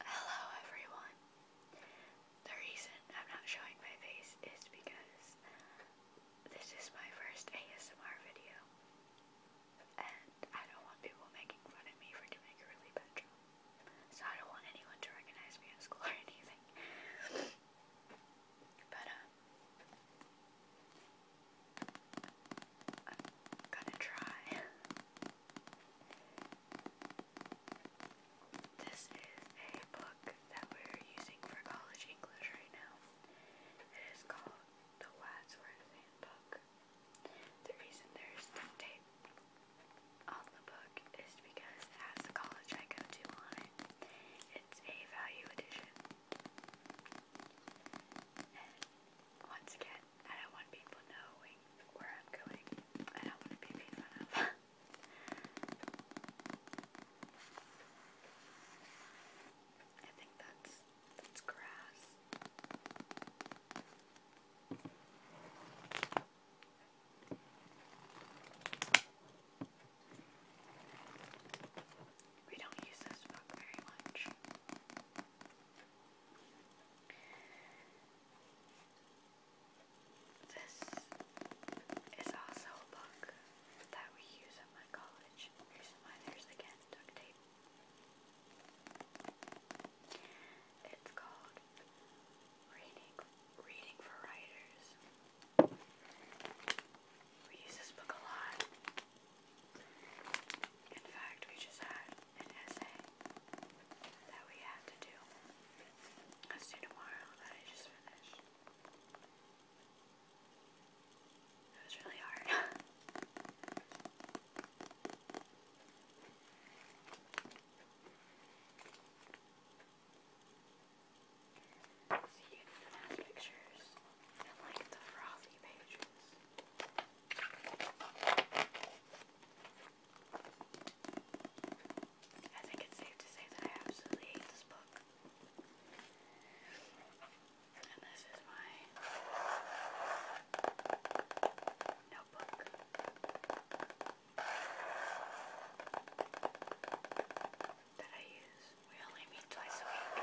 Hello everyone. The reason I'm not showing my face is because this is my first ASMR video and I don't want people making fun of me for doing a really bad job. So I don't want anyone to recognize me at school or anything. But um I'm gonna try. This is a book that we're using for college English right now. It is called The Wadsworth Handbook. The reason there's duct tape on the book is because it has college I go to on it. It's a value edition. once again, I don't want people knowing where I'm going. I don't want to be made fun of. I think that's that's grass. We don't use this book very much. This is also a book that we use at my college. Here's mine. There's again duct tape. It's called Reading Reading for Writers. We use this book a lot. In fact, we just had an essay that we have to do. That's due tomorrow that I just finished. It was really hard. See, so you can pictures and like the frothy pages. I think it's safe to say that I absolutely hate this book. And this is my notebook. That I use. We only meet twice a week.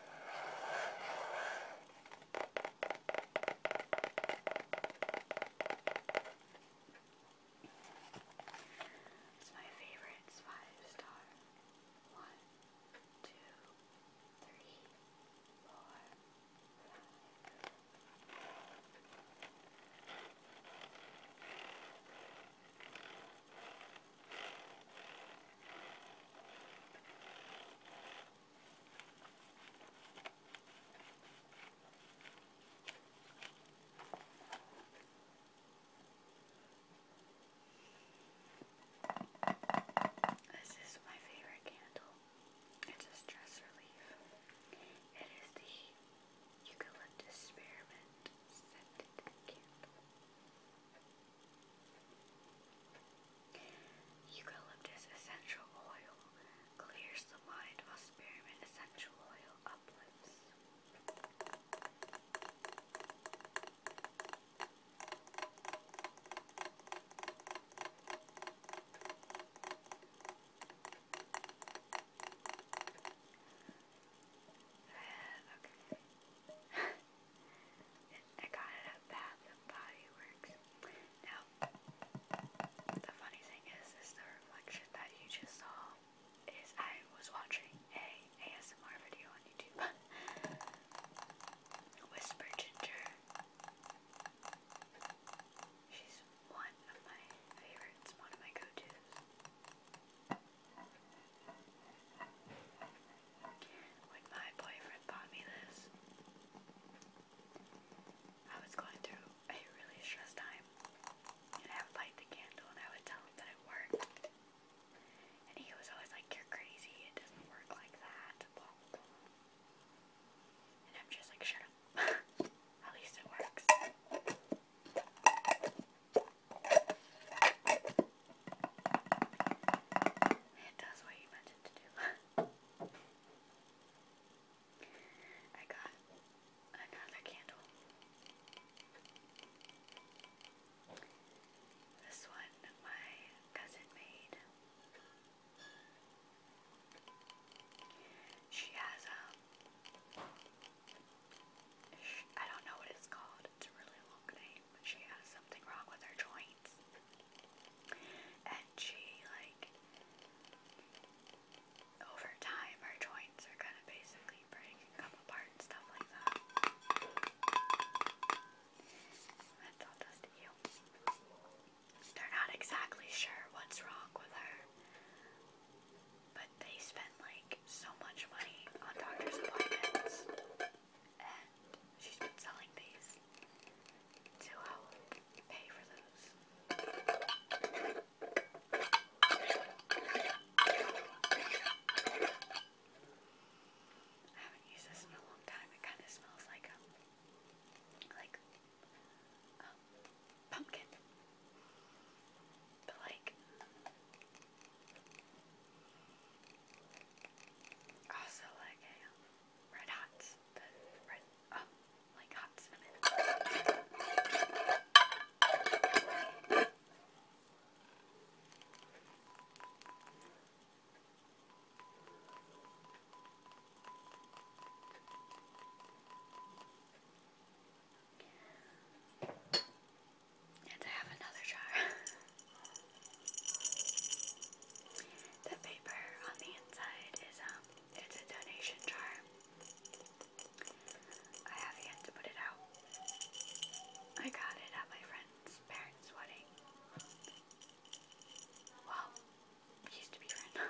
It's my favorite. It's five star. One, two, three, four, five. This is my favorite candle. It's a stress relief. It is the eucalyptus spearmint scented candle. Eucalyptus essential oil clears the mind while spearmint essential oil uplifts. okay. I got it at Bath and Body Works. Now, the funny thing is, is the reflection that you just saw is I was watching a ASMR video on YouTube. Whisper Ginger. She's one of my favorites, one of my go-tos. When my boyfriend bought me this, I was going through a really stressed time, and I would light the candle and I would tell him that it worked. And he was always like, You're crazy, it doesn't work like that, And I'm just like, Shut up. At least it works. It does what you meant it to do. I got another candle. This one my cousin made. She has um I don't know what it's called. It's a really long name, but she has something wrong with her joints. And she, like, over time, her joints are kind of basically breaking up apart and stuff like that. That's all does to you. They're not exactly sure what's wrong with her but they spent like so much money on doctor's appointments, and she's been selling these to help um, pay for those. I haven't used this in a long time. It kind of smells like um, like um, pumpkin, but like also like red hot, the red, oh, like hot I have another jar. the paper on the inside is um it's a donation jar. I have yet to put it out. I got it at my friend's parents' wedding. Well, used to be friend.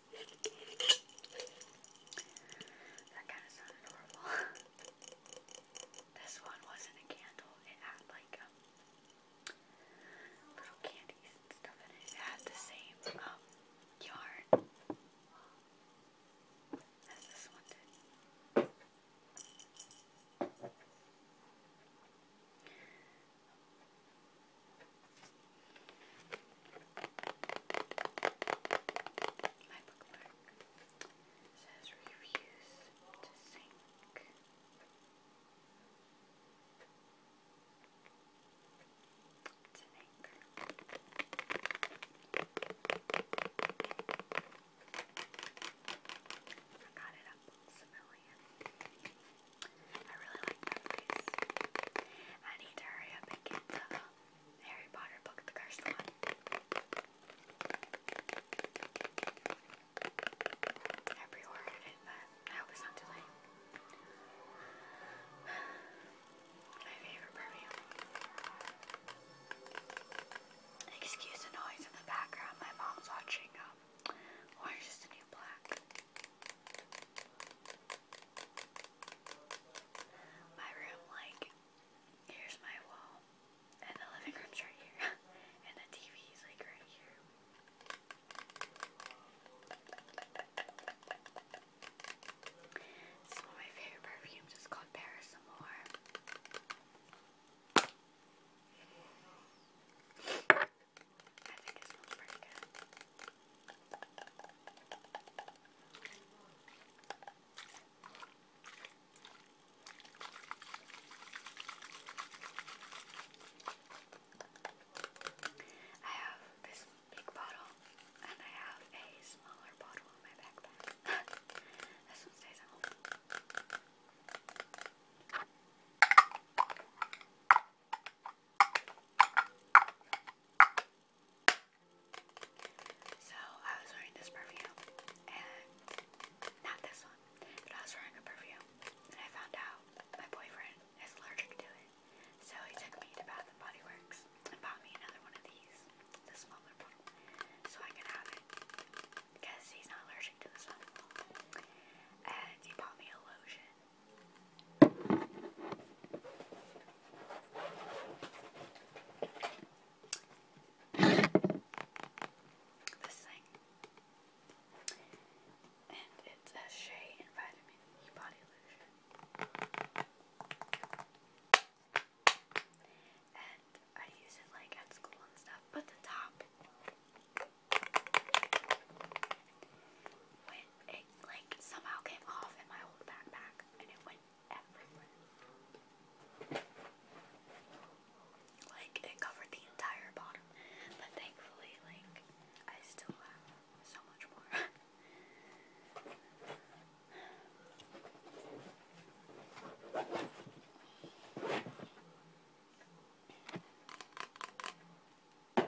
That kind of sounded horrible. this one wasn't a candle. It had like um, little candies and stuff in it. It had the same um, yarn as this one did. My bookmark says reviews to sync. It's an it at Books Million. I really like that face. I need to hurry up and get the Harry Potter book, the cursed one. I pre it, but I hope not too late. My favorite perfume. Excuse the noise in the background. My mom's watching um, Orange is the New Black my room, like, here's my wall, and the living room's right here, and the TV's like right here. It's of my favorite perfumes, it's called Paris Amour. I think it smells pretty good. I have this big bottle and I have a smaller bottle in my backpack. this one stays at home. So I was wearing this perfume and not this one, but I was wearing a perfume and I found out my boyfriend is allergic to it. So he took me to Bath and Body Works and bought me another one of these, the smaller bottle, so I could have it because he's not allergic to this one. And he bought me a lotion this thing. And it's a Shea and Body Lotion. And I use it like at school and stuff, but the top when it like somehow came off in my old backpack and it went everywhere. Like it covered the entire bottom. But thankfully like I still have so much more. And I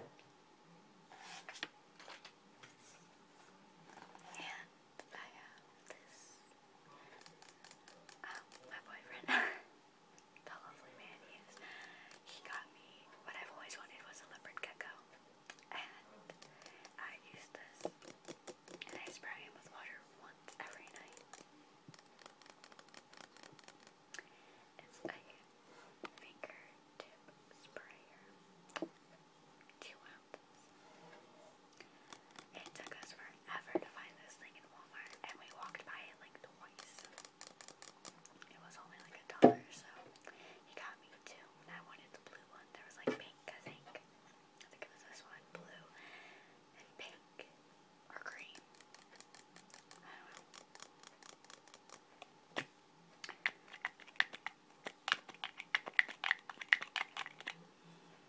have uh, this, um, my boyfriend, the lovely man he is, he got me, what I've always wanted was a leopard gecko, and I use this, and I spray him with water once every night. It's a fingertip sprayer. It took us forever to find this thing in Walmart, and we walked by it like twice. It was only like a dollar, so he got me two. I wanted the blue one. There was like pink, I think. I think it was this one, blue and pink or green. I don't know. I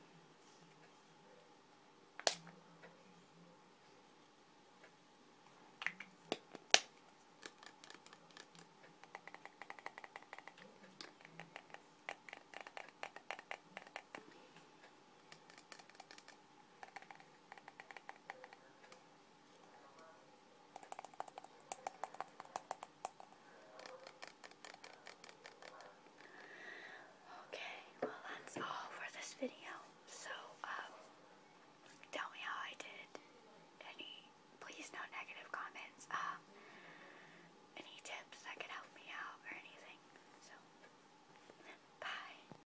Okay, well that's all for this video. So, um, tell me how I did. Any, please no negative comments. Um, any tips that could help me out or anything. So, bye.